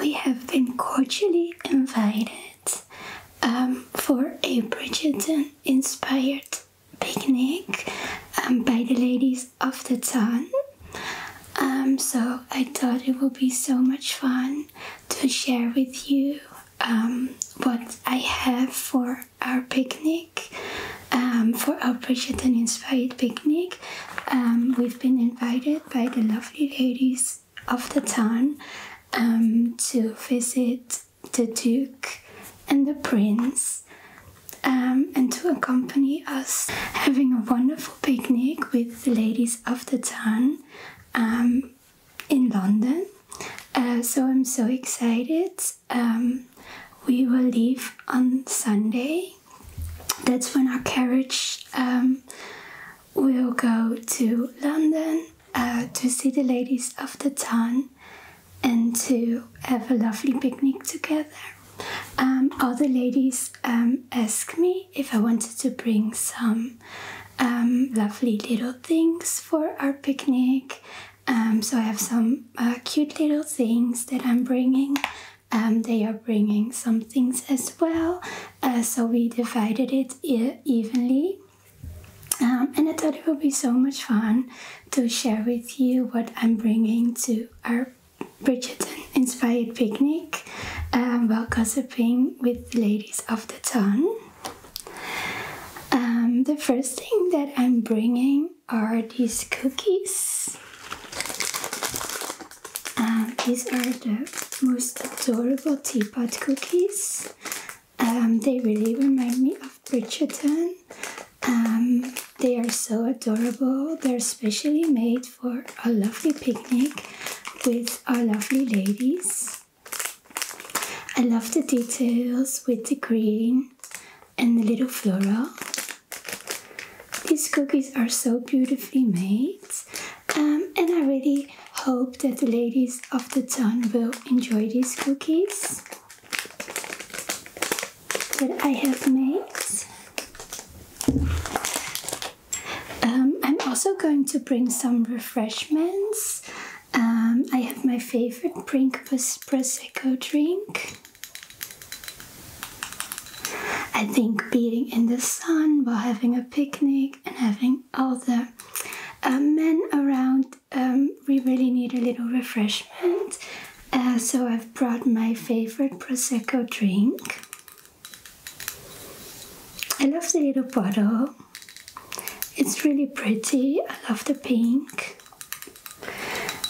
We have been cordially invited um, for a Bridgerton inspired picnic um, by the ladies of the town. Um, so I thought it would be so much fun to share with you what I have for our picnic, um, for our Bridget and Inspired picnic. Um, we've been invited by the lovely ladies of the town um, to visit the Duke and the Prince. and to accompany us having a wonderful picnic with the ladies of the town in London. Uh, so I'm so excited um, we will leave on Sunday. That's when our carriage um, will go to London uh, to see the ladies of the town and to have a lovely picnic together. Um, all the ladies um, asked me if I wanted to bring some lovely little things for our picnic um, so I have some uh, cute little things that I'm bringing. Um, they are bringing some things as well. Uh, so we divided it evenly. Um, and I thought it would be so much fun to share with you what I'm bringing to our Bridgerton inspired picnic while gossiping with the ladies of the town. the first thing that I'm bringing are these cookies. Um, these are the most adorable teapot cookies. Um, they really remind me of Bridgerton. Um, they are so adorable. They're specially made for a lovely picnic with our lovely ladies. I love the details with the green and the little flora. These cookies are so beautifully made, um, and I really hope that the ladies of the town will enjoy these cookies that I have made. Um, I'm also going to bring some refreshments um, I have my favorite drink, Prosecco drink. I think being in the sun while having a picnic and having all the um, men around, um, we really need a little refreshment. Uh, so I've brought my favorite Prosecco drink. I love the little bottle. It's really pretty. I love the pink.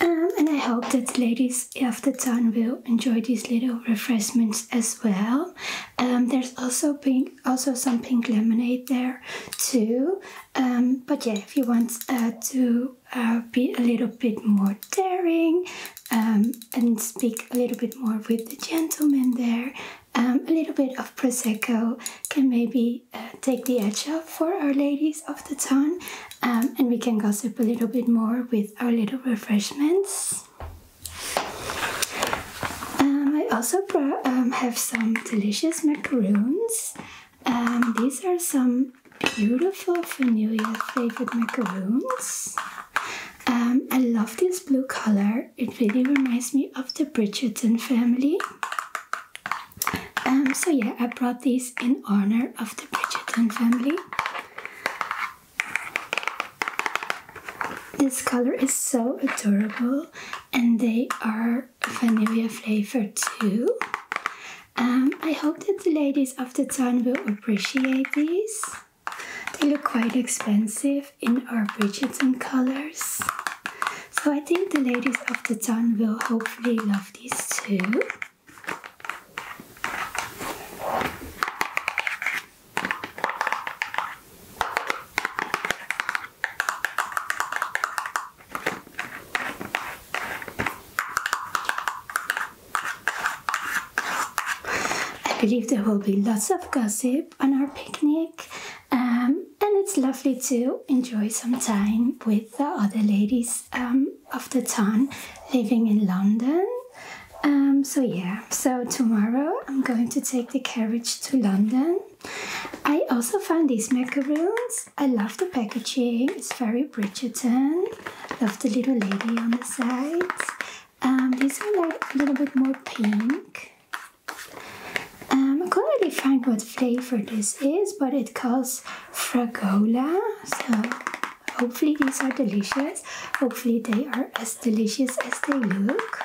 Um, and I hope that ladies of the town will enjoy these little refreshments as well. Um, there's also pink, also some pink lemonade there too. Um, but yeah, if you want uh, to uh, be a little bit more daring and speak a little bit more with the gentleman there, a little bit of prosecco can maybe uh, take the edge off for our ladies of the town, um, and we can gossip a little bit more with our little refreshments. Um, I also um, have some delicious macaroons. these are some beautiful vanilla flavored macaroons. I love this blue color. It really reminds me of the Bridgerton family. Um, so yeah, I brought these in honor of the Bridgerton family. This color is so adorable, and they are vanilla flavor too. Um, I hope that the ladies of the town will appreciate these. They look quite expensive in our Bridgerton colors. So I think the ladies of the town will hopefully love these too. I believe there will be lots of gossip on our picnic. Um, um, and it's lovely to enjoy some time with the other ladies um, of the town living in London. Um, so, yeah, so tomorrow I'm going to take the carriage to London. I also found these macaroons. I love the packaging, it's very Bridgerton. Love the little lady on the sides. these are like a little bit more pink. Um, I couldn't really find what flavor this is, but it calls Fragola. So hopefully these are delicious. Hopefully they are as delicious as they look.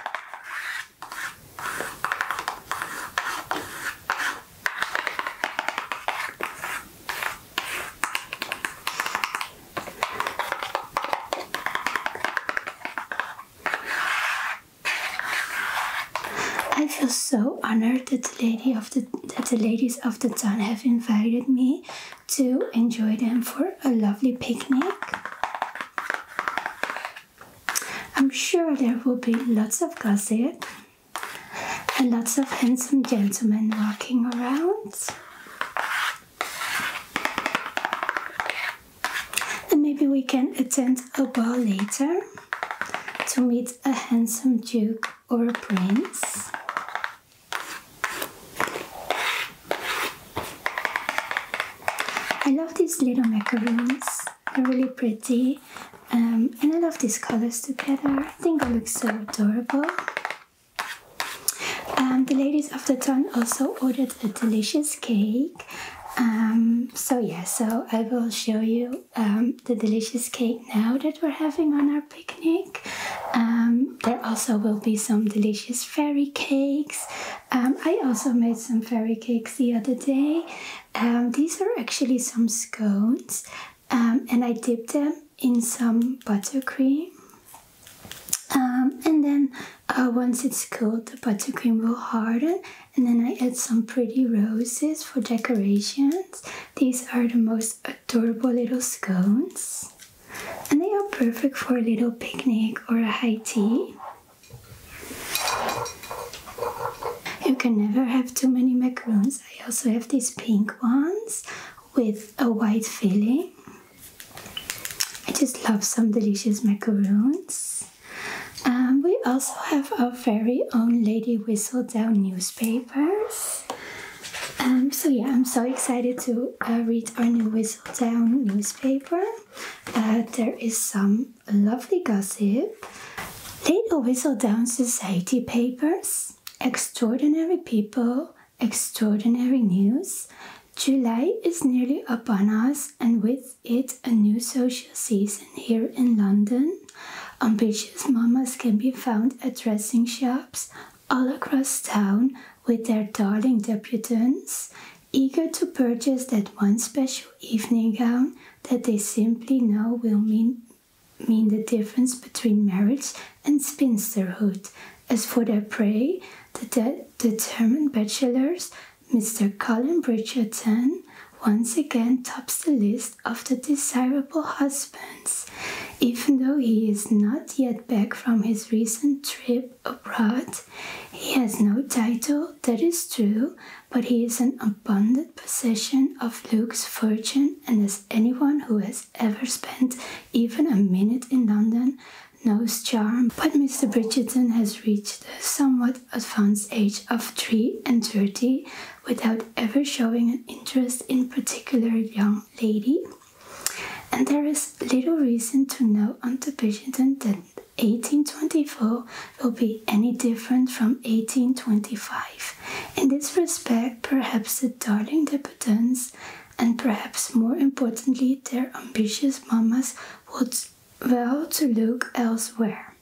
I feel so honored that the, ladies of the town have invited me to enjoy them for a lovely picnic. I'm sure there will be lots of gossip and lots of handsome gentlemen walking around. And maybe we can attend a ball later to meet a handsome duke or a prince. I love these little macaroons, they're really pretty um, and I love these colors together, I think they look so adorable. Um, the ladies of the town also ordered a delicious cake. Um, so yeah, so I will show you um, the delicious cake now that we're having on our picnic. Um, there also will be some delicious fairy cakes. I also made some fairy cakes the other day. these are actually some scones and I dipped them in some buttercream. and then uh, once it's cooled, the buttercream will harden and then I add some pretty roses for decorations. These are the most adorable little scones. And they are perfect for a little picnic or a high tea. You can never have too many macaroons. I also have these pink ones with a white filling. I just love some delicious macaroons. Um, we also have our very own Lady Whistledown newspapers. Um, so yeah, I'm so excited to uh, read our new Whistledown newspaper. Uh, there is some lovely gossip, Lady Whistledown Society papers, extraordinary people, extraordinary news, July is nearly upon us, and with it a new social season here in London. Ambitious mamas can be found at dressing shops all across town with their darling debutantes, eager to purchase that one special evening gown that they simply know will mean, mean the difference between marriage and spinsterhood. As for their prey, the determined bachelors Mr. Colin Bridgerton once again tops the list of the desirable husbands, even though he is not yet back from his recent trip abroad. He has no title, that is true, but he is an abundant possession of Luke's fortune, and as anyone who has ever spent even a minute in London no charm, but Mr. Bridgerton has reached a somewhat advanced age of 3 and 30 without ever showing an interest in particular young lady. And there is little reason to know unto Bridgerton that 1824 will be any different from 1825. In this respect, perhaps the darling debutants and perhaps more importantly their ambitious mamas would well to look elsewhere.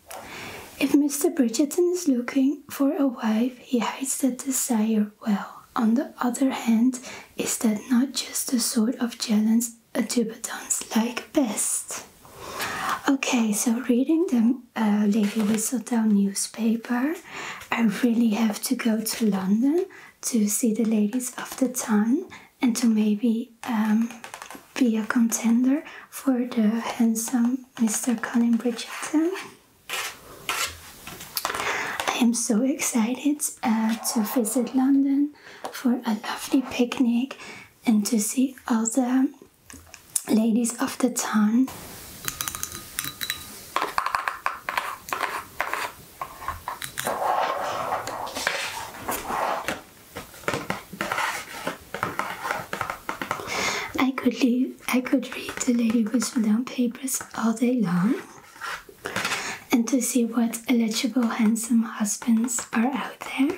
If Mr. Bridgerton is looking for a wife, he hides that desire well. On the other hand, is that not just the sort of challenge a tuba dance like best? Okay, so reading the uh, Lady Whistledown newspaper, I really have to go to London to see the ladies of the town and to maybe um, be a contender for the handsome Mr. Colin Bridgerton. I am so excited uh, to visit London for a lovely picnic and to see all the ladies of the town. I could leave, I could read the Lady with Whistledown papers all day long and to see what eligible handsome husbands are out there.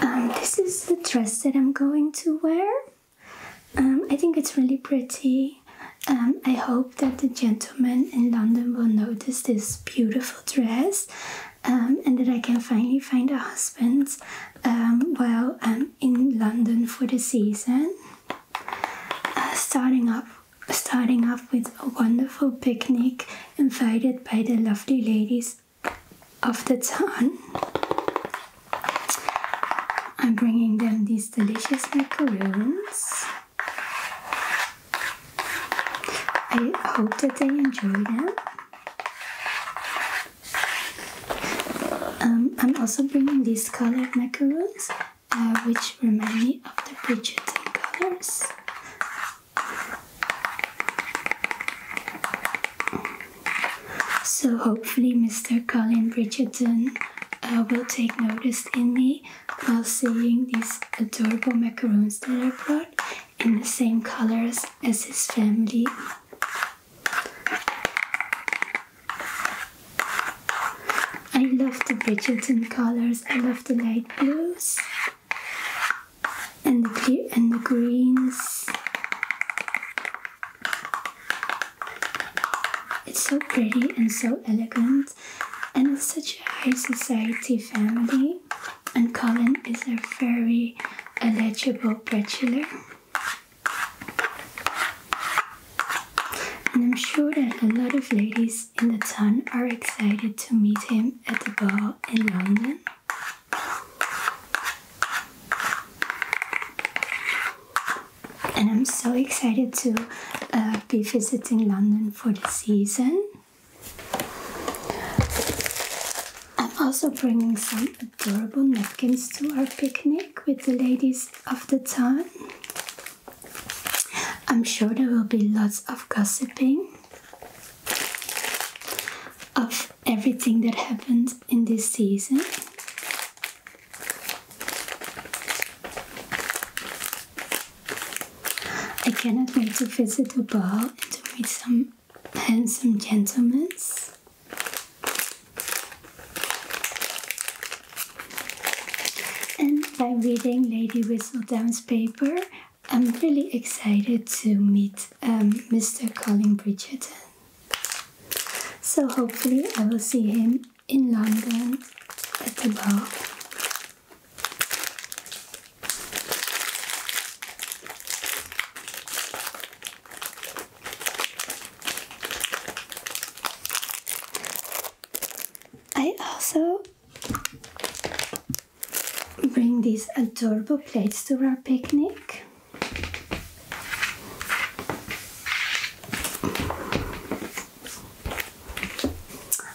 Um, this is the dress that I'm going to wear. Um, I think it's really pretty. Um, I hope that the gentlemen in London will notice this beautiful dress and that I can finally find a husband while I'm in London for the season. Uh, starting up starting off with a wonderful picnic invited by the lovely ladies of the town. I'm bringing them these delicious macaroons. I hope that they enjoy them. Um, I'm also bringing these colored macaroons, uh, which remind me of the Bridgerton colors. So hopefully Mr. Colin Bridgerton uh, will take notice in me while seeing these adorable macaroons that I brought in the same colors as his family. I love the Bridgerton colors. I love the light blues and the and the greens. It's so pretty and so elegant, and it's such a high society family. And Colin is a very eligible bachelor. And I'm sure that a lot of ladies in the town are excited to meet him at the ball in London. And I'm so excited to uh, be visiting London for the season. I'm also bringing some adorable napkins to our picnic with the ladies of the town. I'm sure there will be lots of gossiping of everything that happened in this season. I cannot wait to visit the ball and to meet some handsome gentlemen. And by reading Lady Whistledown's paper, I'm really excited to meet Mr. Um, Colin Bridgerton. So hopefully I will see him in London at the ball. I also bring these adorable plates to our picnic.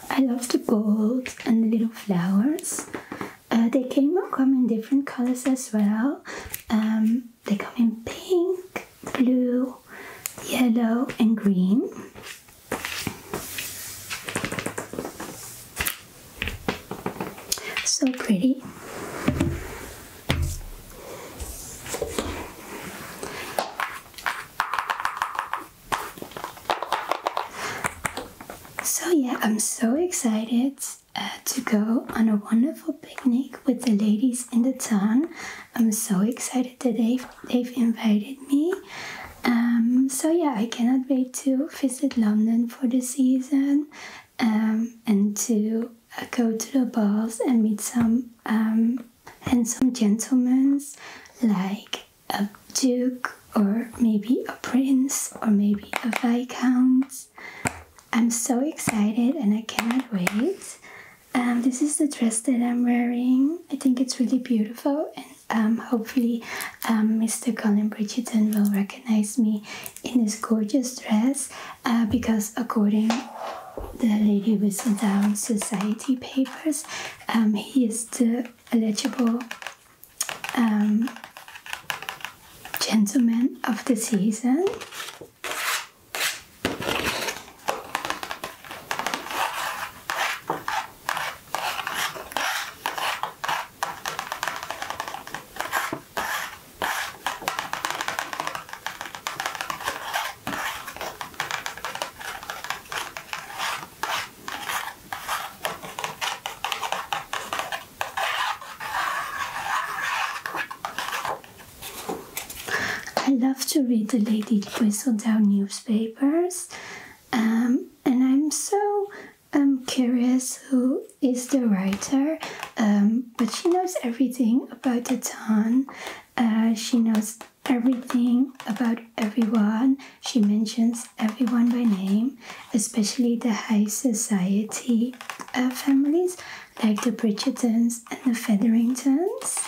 I love the gold and the little flowers. Uh, they came come in different colors as well. Um, they come in pink, blue, yellow, and green. So pretty. So, yeah, I'm so excited uh, to go on a wonderful picnic with the ladies in the town. I'm so excited that they've, they've invited me. Um, so yeah, I cannot wait to visit London for the season um, and to uh, go to the balls and meet some um, handsome gentlemen like a duke or maybe a prince or maybe a viscount. I'm so excited and I cannot wait. Um, this is the dress that I'm wearing. I think it's really beautiful, and um, hopefully, Mr. Um, Colin Bridgerton will recognize me in this gorgeous dress uh, because, according the Lady Whistledown Society papers, um, he is the eligible gentleman of the season. I love to read the Lady Whistledown newspapers um, and I'm so um, curious who is the writer, um, but she knows everything about the town. Uh, she knows everything about everyone. She mentions everyone by name, especially the high society uh, families like the Bridgertons and the Featheringtons.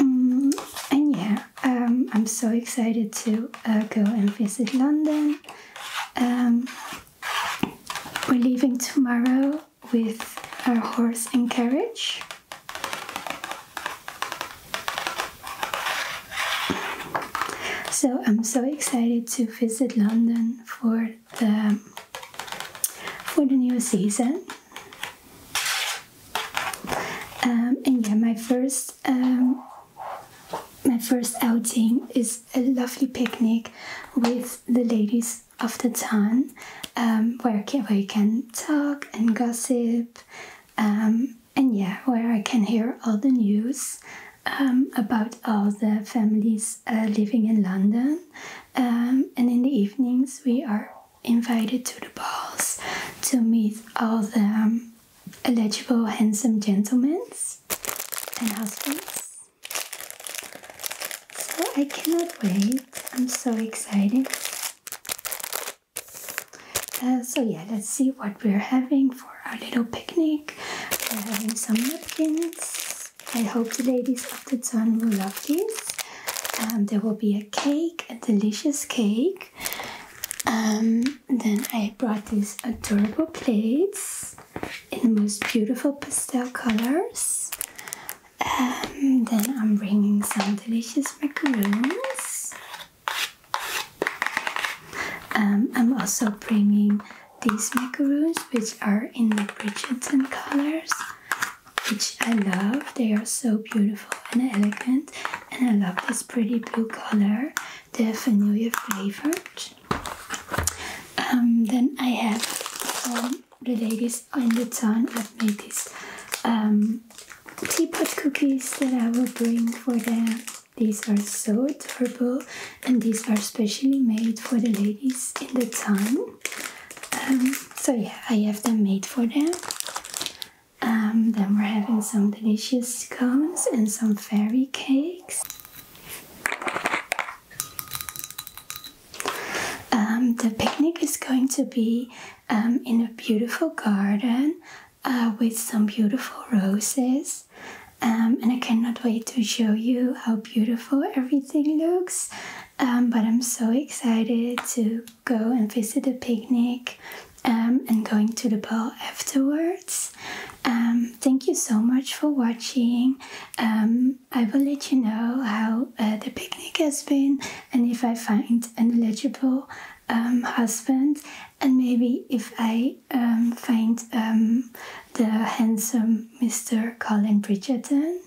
Mm, and yeah, um, I'm so excited to uh, go and visit London. Um, we're leaving tomorrow with our horse and carriage. So I'm so excited to visit London for the for the new season. Um, and yeah, my first um, my first outing is a lovely picnic with the ladies of the town, um, where, can, where you can talk and gossip, and yeah, where I can hear all the news about all the families uh, living in London. and in the evenings, we are invited to the balls to meet all the um, eligible handsome gentlemen and husbands. So I cannot wait. I'm so excited. Uh, so yeah, let's see what we're having for our little picnic. We're having some napkins. I hope the ladies of the town will love this. Um, there will be a cake, a delicious cake um, then I brought these adorable plates in the most beautiful pastel colors. Um, then I'm bringing some delicious macaroons. Um, I'm also bringing these macaroons, which are in the Bridgerton colors which I love. They are so beautiful and elegant, and I love this pretty blue color, the vanilla flavored. Um, then I have from um, the ladies in the town have made these um, teapot cookies that I will bring for them. These are so adorable, and these are specially made for the ladies in the town. Um, so yeah, I have them made for them. Um, then we're having some delicious scones and some fairy cakes. Um, the picnic is going to be um, in a beautiful garden uh, with some beautiful roses. and I cannot wait to show you how beautiful everything looks. but I'm so excited to go and visit the picnic um, and going to the ball afterwards. Um, thank you so much for watching. Um, I will let you know how uh, the picnic has been and if I find an eligible husband, and maybe if I find the handsome Mr. Colin Bridgerton.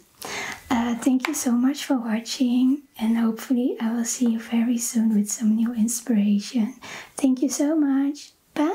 Uh, thank you so much for watching and hopefully, I will see you very soon with some new inspiration. Thank you so much. Bye.